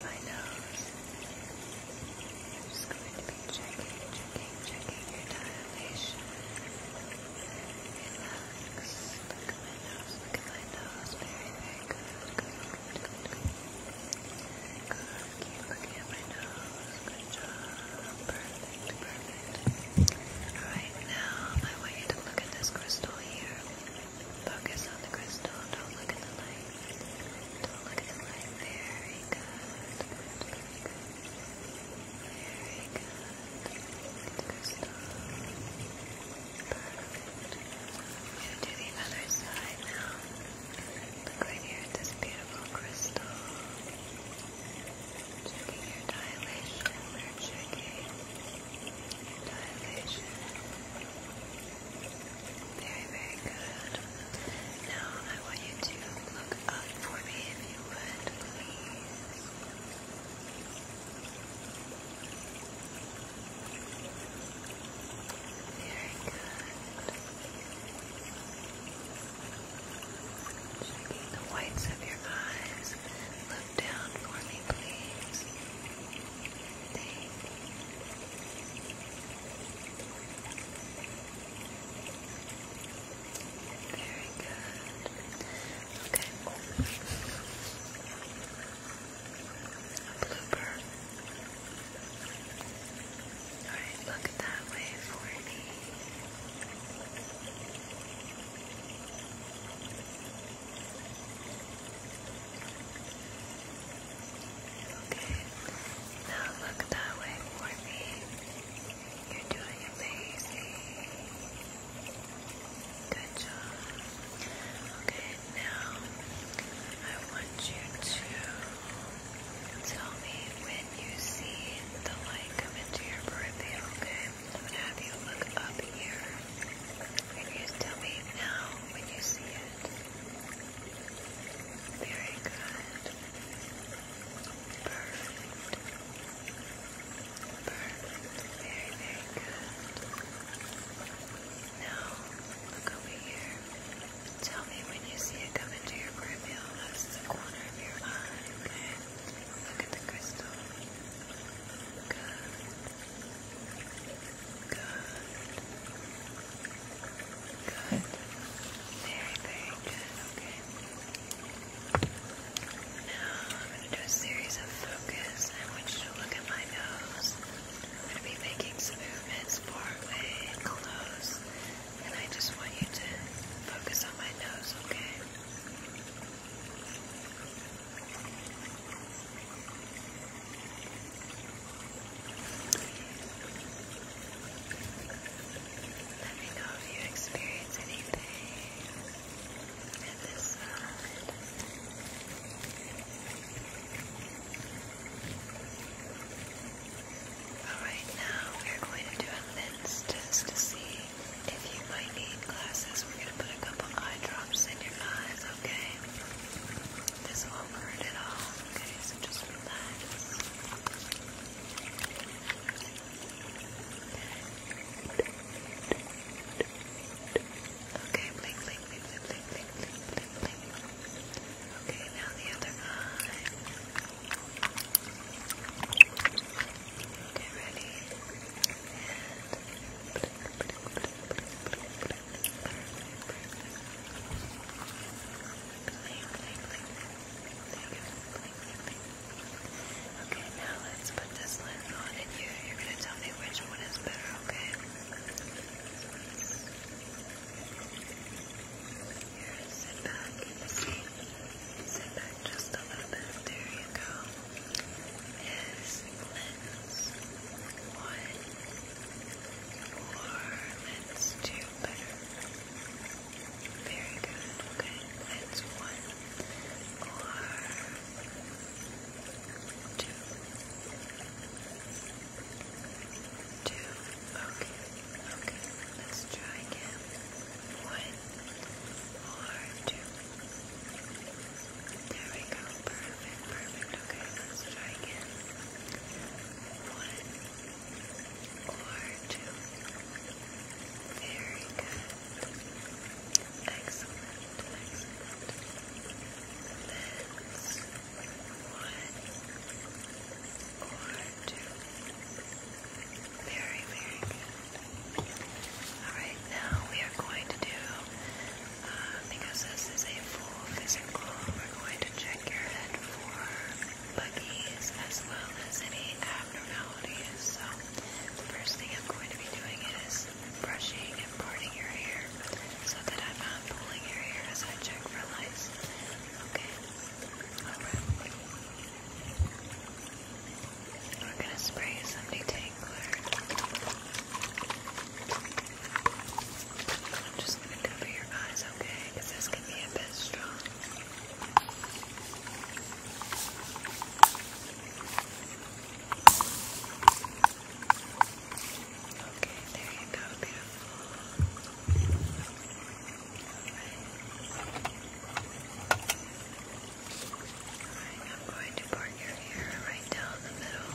my nose. I'm just going to be checking, checking, checking your dilation. Relax. Look at my nose, look at my nose. Very, very good. Good, good, good, good. Good. Keep looking at my nose. Good job. Perfect, perfect. Alright, now I want you to look at this crystal here. Focus on the crystal. Don't look at the light. Don't look at the light. Very good. Very good. Very good. The crystal. Perfect. I'm going to do the other side now. Look right here at this beautiful crystal. Checking your dilation. We're checking your dilation. Very very, very good. Now I want you to look up for me if you would, please. Very good. Checking the whites of your eyes. Look down for me, please. Thank you. Very good. Okay. Blooper. Alright, look that way for me. Okay, now look that way for me. You're doing amazing. Good job. Okay, now I want you to tell me when you see the light come into your peripheral, okay? I'm gonna have you look up here. And you tell me now when you see it. Very good. Perfect. Perfect. Very, very good. Now, look over here. Tell me when you see it come into your cornea. That's the corner of your eye, okay? Look at the crystal. Good. Good. Very, very good. Okay. Now I'm going to do a series of focus. I want you to look at my nose. I'm going to be making some movements forward and close. And I just want you to focus on my nose, okay? Good. Let me know if you experience anything at Alright, now we're going to do a lens test to see if you might need glasses. We're going to put a couple eye drops in your eyes, okay? This won't hurt at all. Okay, so just relax. Okay, blink, blink, blink, blink, blink, blink, blink, blink, Okay, now the other eye. Okay, ready? Okay, now let's put this lens on and you, you're going to tell me which one is better, okay? Here, sit back in the seat. Sit back just a little bit. There you go. Is lens one. Or let's do better. Very good. Okay, that's one. Or two. Two. Okay. Okay. Let's try again. One. Or two. There we go. Perfect. Perfect. Okay. Let's try again. One or two. Very good. Excellent, excellent. Let's Very, good. Alright, now we are going to do, uh, because this is a full physical, we're going to do check your head for buggies as well as any abnormalities. So first thing I'm going to be doing is brushing and parting your hair so that I'm not pulling your hair as I check for lice. Okay? Alright. We're gonna spray some detangler. I'm just gonna cover your eyes, okay? Because this can be a bit strong. Okay, there you go, beautiful. right, I'm going to part your hair right down the middle.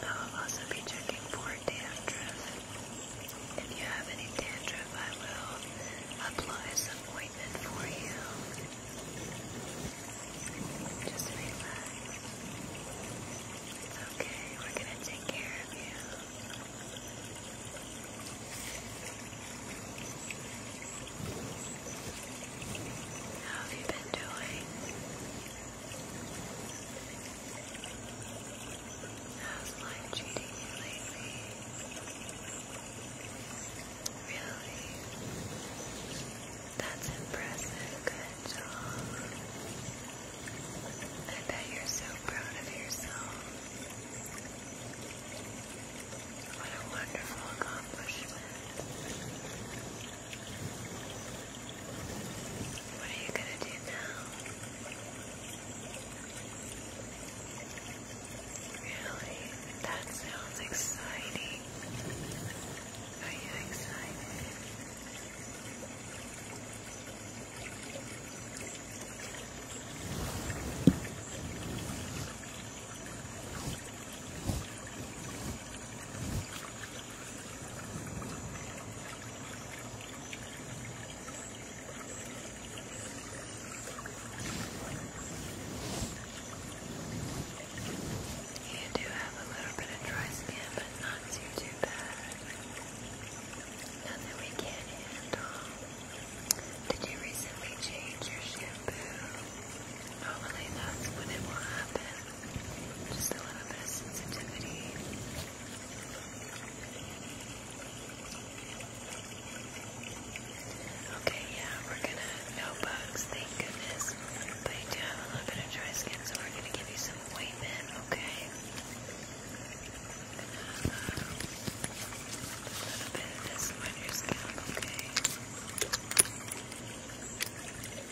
I will also be checking for dandruff. If you have any dandruff, I will apply some ointment for you. Just relax. okay. We're gonna take care of you. How have you been doing? How's life cheating you Really? That's impressive. Good job. I bet you're so proud of yourself. What a wonderful accomplishment. What are you going to do now? Really? That sounds exciting. Are you excited? You do have a little bit of dry skin, but not too too bad. Nothing we can't handle. Did you recently change your shampoo? Normally that's when it will happen. Just a little sensitivity. Okay, yeah, we're gonna no bugs, thank goodness. But you do have a little bit of dry skin, so we're gonna give you some ointment, okay? a little bit of this on your scalp, Okay,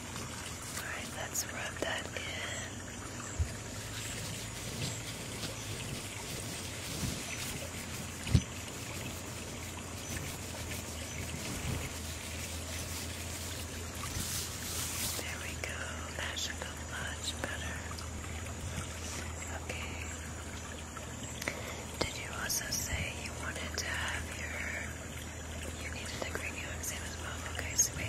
Alright, let's rub that in. There we go. That should go much better. Okay. Did you also say you wanted to have your you needed a cranial exam as well? Okay,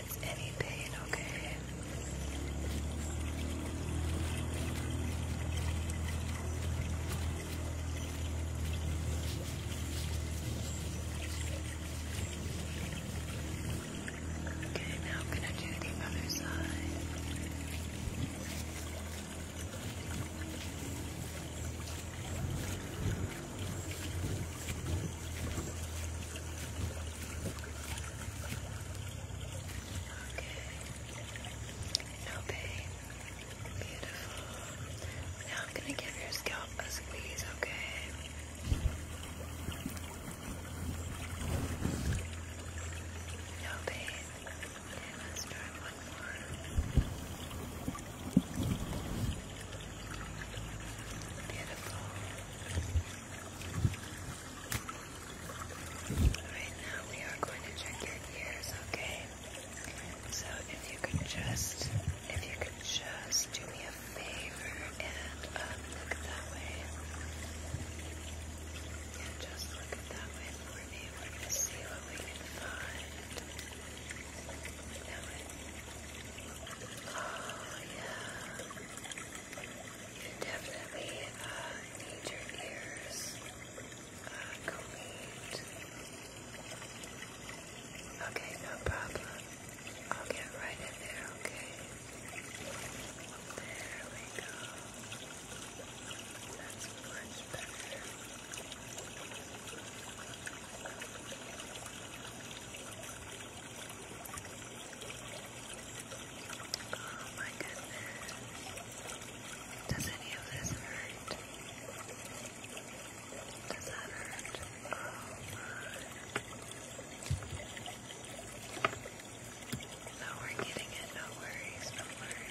experience any pain, okay? Okay, now I'm going to do the other side. Okay, Okay. No pain. Beautiful. Now I'm gonna give your scalp a squeeze, okay? No pain. Beautiful. Right now we are going to check your ears, okay? So if you could just, if you could just do me a favor and um, look that way. Yeah, just look that way for me. We're going to see what we can find. Oh, yeah you definitely uh, need your ears uh, Okay, no problem. I'll get right in there, okay? There we go. That's much Oh my goodness. Does any of this hurt? Does that hurt? No, we're getting it. No worries. No worries.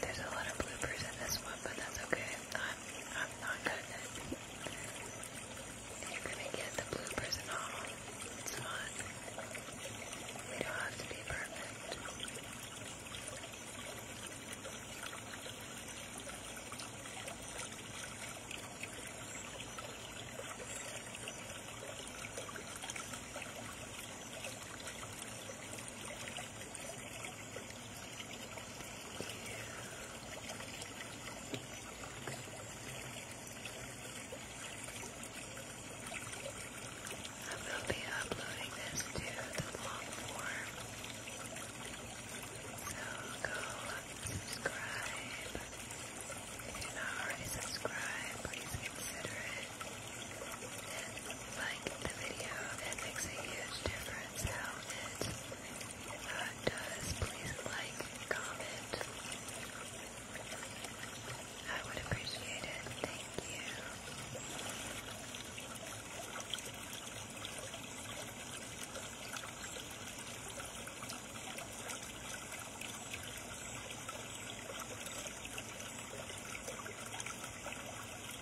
There's a lot of bloopers in this one, but that's okay. I'm not, i You're gonna get the bloopers and all. It's fine. We don't have to be perfect. I will be uploading this to the long form. So go subscribe. If you're not already subscribed, please consider it. like the video. It makes a huge difference and If that does, please like comment. I would appreciate it. Thank you.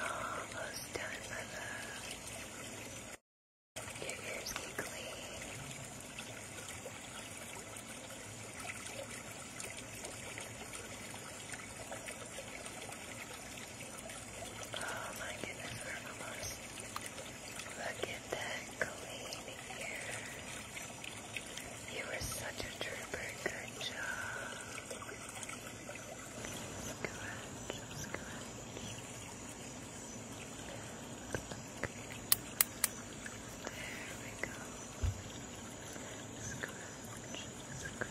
Almost done, my love. Your ears get clean. Oh my goodness, we're almost. Look at that clean ear. You were such a trooper. Good job. Scratch, scratch. There we go. Scratch, scratch, scratch. Pluck.